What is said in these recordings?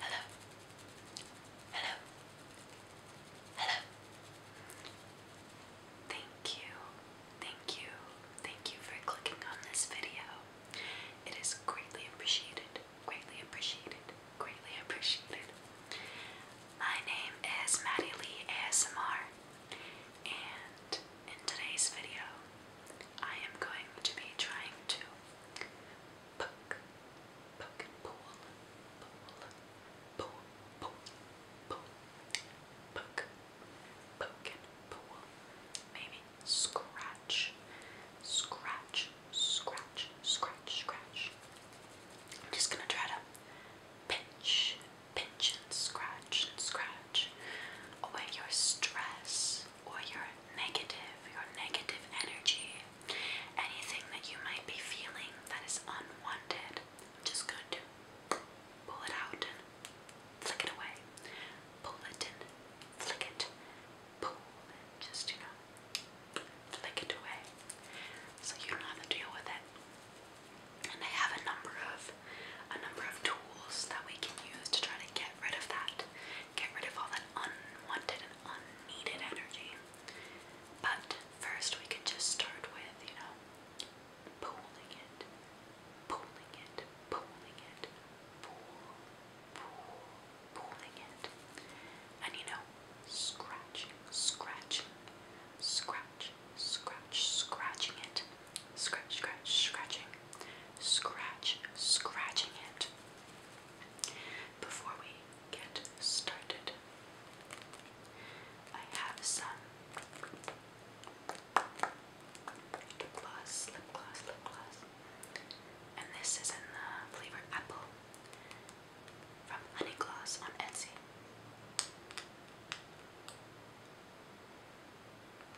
Hello. Hello. Hello. Thank you. Thank you. Thank you for clicking on this video. It is greatly appreciated. Greatly appreciated. Greatly appreciated. My name is Maddie Lee ASMR and in today's video I am going to be trying to poke, poke and pull, pull, pull, pull, poke, poke and pull, maybe scratch, scratch, scratch, scratch, scratch. I'm just gonna try to pinch, pinch and scratch and scratch away your stress, or your negative, your negative energy, anything that you might be feeling that is unwanted, I'm just going to pull it out flick it away. Pull it and flick it. Pull just, you know, flick it away. So you don't have to deal with it. And I have a number of a number of tools that we can use to try to get rid of that get rid of all that unwanted and unneeded energy. But first, we could just start with, you know, pooling it, pooling it, pooling it, pool, pool, pooling it. And you know, scratching, scratching, scratch, scratch, scratching it, scratch, scratch, scratching, scratch scratching it before we get started. I have some lip gloss, lip gloss, lip gloss. And this is in the flavor apple from Honey Gloss on Etsy.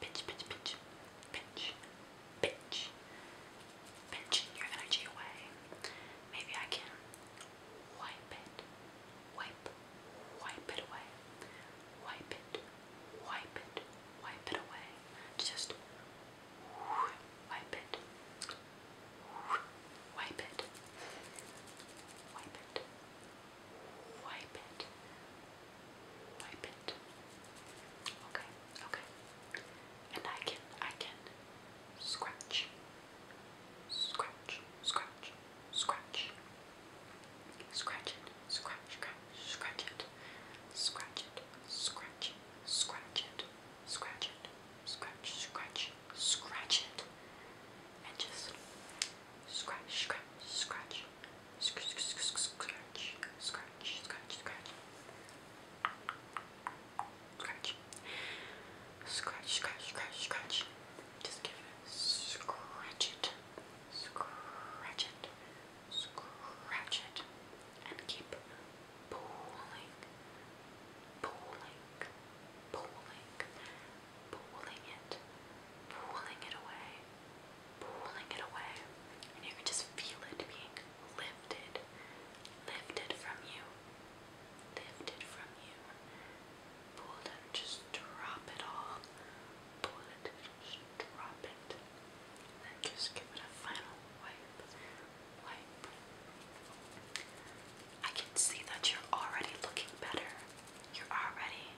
pinch, pinch, pinch, pinch, pinch, pinching your energy away. Maybe I can wipe it, wipe, wipe it away, wipe it, wipe it, wipe it away. Just wipe it, wipe it, wipe it, wipe it, wipe it, Wipe it. Wipe it. Okay, okay. And I can, I can scratch, scratch, scratch, scratch. Scratch it, scratch, scratch, scratch it. Scratch it, scratch, scratch it, scratch it, scratch, scratch, scratch it. And just scratch, scratch, scratch, Scratch, scratch, scratch, scratch, scratch. Scratch. Scratch, scratch, scratch, scratch. Just give it a scratch it. Scratch it. Scratch it. And keep pulling. Pulling. Pulling pulling it, pulling it away, pulling it away. And you can just feel it being lifted, lifted from you, lifted from you. Pull it out, just drop it all. Pull it, just drop it. And then just give it a final wipe, wipe. I can see that you're already looking better. You're already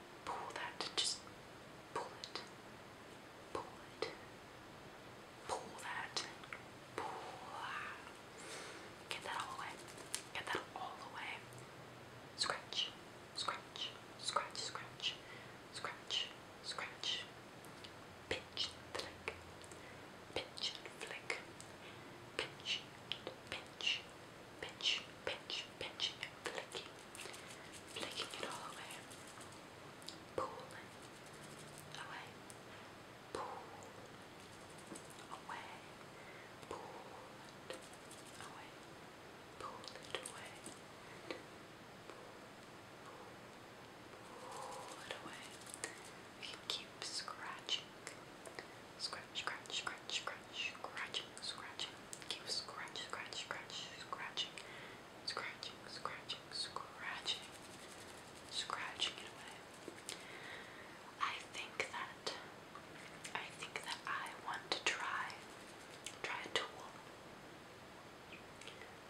pull that, just pull it, pull it, pull that, pull that. Get that all away, get that all away. Scratch, scratch, scratch, scratch, scratch, scratch. Pinch, flick, pinch, flick, pinch, pinch pinch, pinch, pinch, pinching and flicking, flicking it all away, pulling away, pull it away, pull it away, pull, it away. We can keep Scratching, Scratch, scratch, scratch, scratch, scratching, scratching. Keep scratch, scratch, scratch, scratching, scratching, scratching, scratching, scratching it away. I think that I think that I want to try try a tool.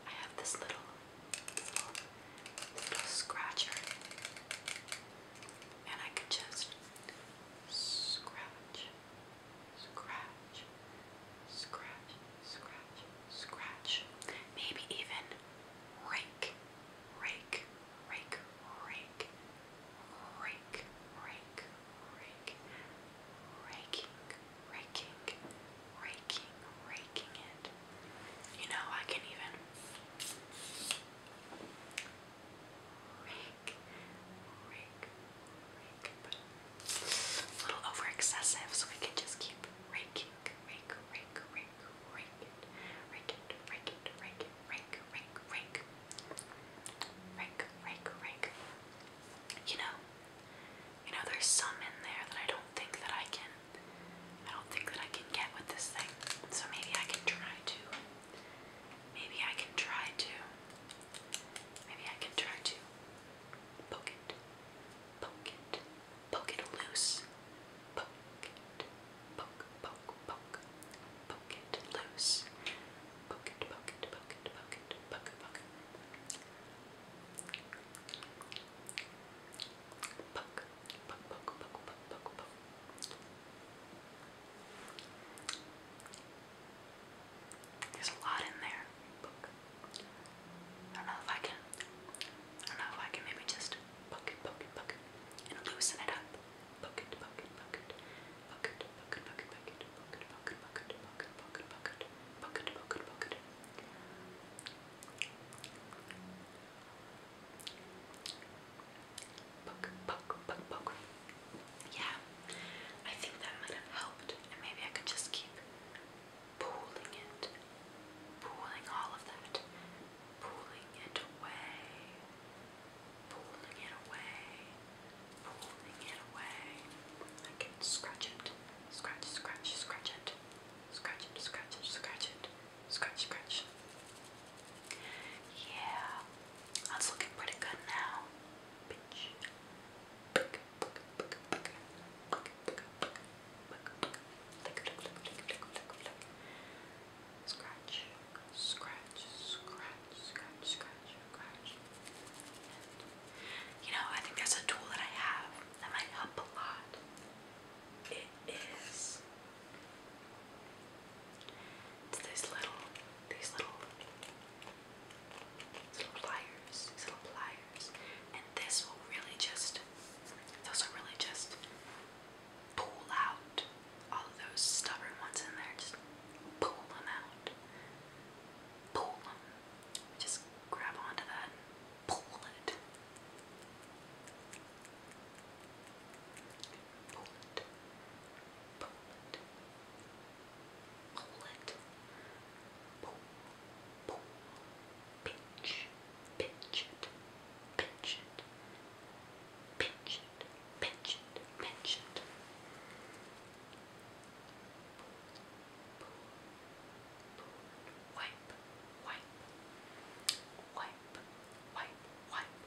I have this little this little, this little scratcher. And I could just scratch, Scratch, scratch, scratch, scratch. Maybe even rake, rake, rake, rake, rake, rake, rake, raking, raking, raking, raking it. You know, I can even a little over excessive, so we can just keep raking, rake, rake, rake, rake it, rake it, rake it, rake it, You know, you know, there's some in there that I don't think that I can, I don't think that I can get with this thing. So maybe I can try to. Maybe I can try to. Maybe I can try to poke it, poke it, poke it loose. Poke it, poke, poke, poke, poke it loose. Poke it, poke it, poke it, poke it, poke it, poke it. Poke, poke, poke, poke, poke, poke, poke. There's a lot in there. I don't know if I can. I don't know if I can maybe just yeah, I think that might have helped, maybe I could just keep pooling it, pooling all of that, pooling it away, pooling it away, pooling it away. I can scratch it, scratch, scratch, scratch it, scratch it, scratch it, scratch it, scratch, scratch. Yeah, that's looking pretty good now. Scratch, scratch, scratch, scratch, you know, I think there's a tool that I have that might help a lot. It is it's these little, these little, these little pliers, these little pliers, and this will really just, those will really just pull out all of those stubborn ones in there. Just pull them out, pull them. Just grab onto that, pull it. Poland, Poland, Poland, Pole, Pole, Pinch, Pinch it, Pinch it, Pinch it, Pinch it, Pinch it. Wipe, wipe, wipe, wipe, wipe,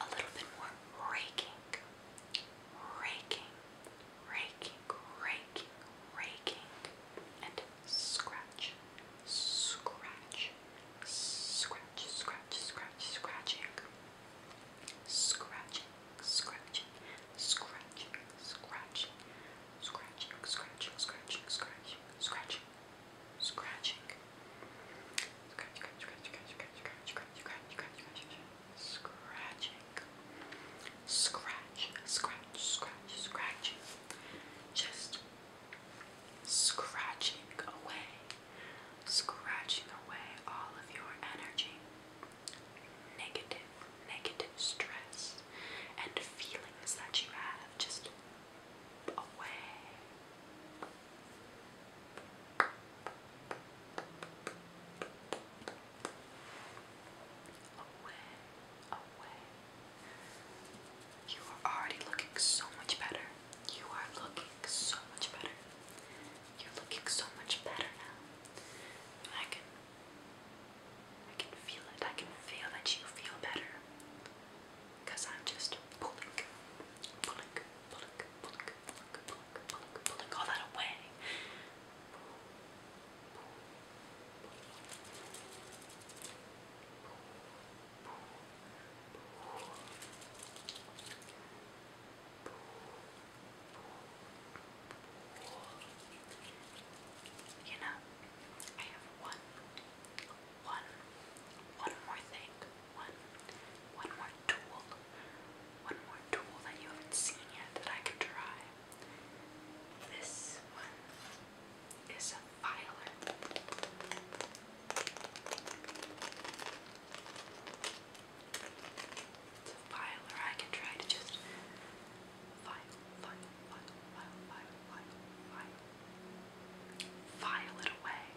a little bit more raking, raking, raking, raking, raking, and scratch, scratch, scratch, scratch, scratch, scratching, scratching, scratching, scratching, scratching, scratching, scratching, scratching, scratching, scratching, scratching. Scratch, scratch, scratch, scratch, scratch, scratch, scratch, scratch, scratch, scratch, scratching. Scratch, scratch, scratch, scratching. Just scratching away, scratching away all of your energy, negative, negative stress, and feelings that you have just away. Away, away. You are already looking so much better. You are looking so much better. You're looking so much better now. I can I can feel it. I can feel that you feel better because I'm just pulling, pulling, pulling, pulling, pulling, pulling, pulling, all that away. You know, I have one one one more thing, one one more tool, one more tool that you haven't seen yet that I can try. This one is a filer. It's a filer. I can try to just file, file, file, file, file, file, file, file it away.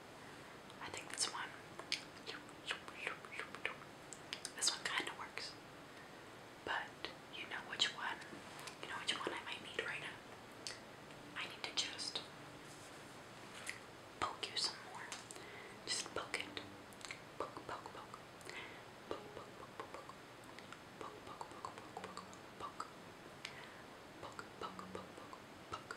I think this one, this one kind of works, but you know which one, you know which one I might need right now. I need to just poke you some more. Just poke it. Poke, poke, poke. Poke, poke, poke, poke, poke. Poke, poke, poke, poke, poke, poke. Poke, poke, poke, poke, poke.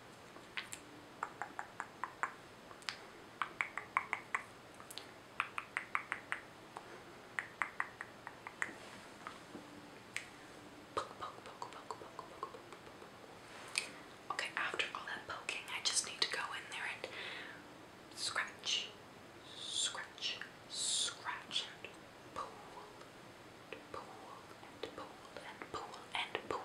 Poke, poke, poke, poke, poke, poke, poke, poke. Okay, after all that poking, I just need to go in there and scratch, scratch, scratch, and pull, and pull, and pull, and pull, and pull,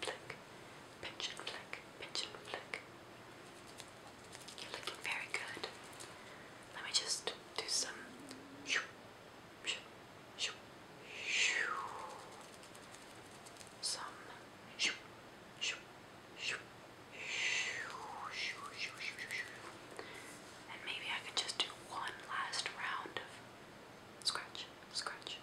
flick, pinch and flick, pinch and flick. You're looking very good. Let me just do some. Shoo, shoo, shoo, shoo. Some. Shoo, shoo, shoo, shoo, shoo, shoo, shoo, shoo. And maybe I could just do one last round of scratch, scratch,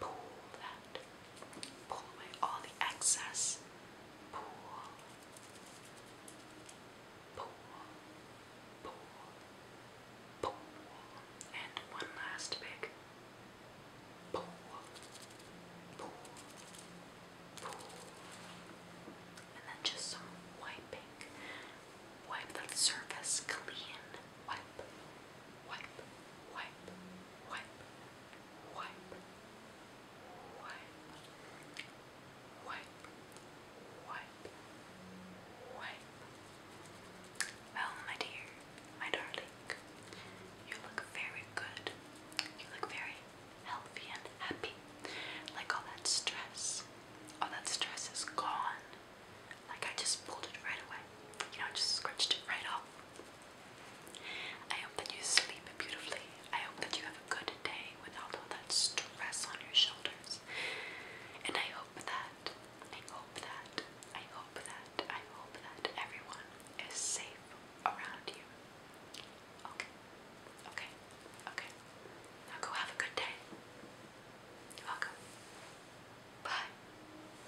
pull that, pull away all the excess, pull, pull, pull, pull, and one last big pull, pull, pull, and then just some wiping, wipe that surface clean wipe, wipe, wipe, wipe, wipe, wipe, wipe, wipe, wipe. Well, my dear, my darling, you look very good. You look very healthy and happy. Like all that stress. All that stress is gone. Like I just pulled it right away. You know, I just scratched it right off. I hope that you sleep beautifully. I hope that you have a good day without all that stress on your shoulders. And I hope that, I hope that, I hope that, I hope that everyone is safe around you. Okay, okay, okay. Now go have a good day. Welcome. Bye.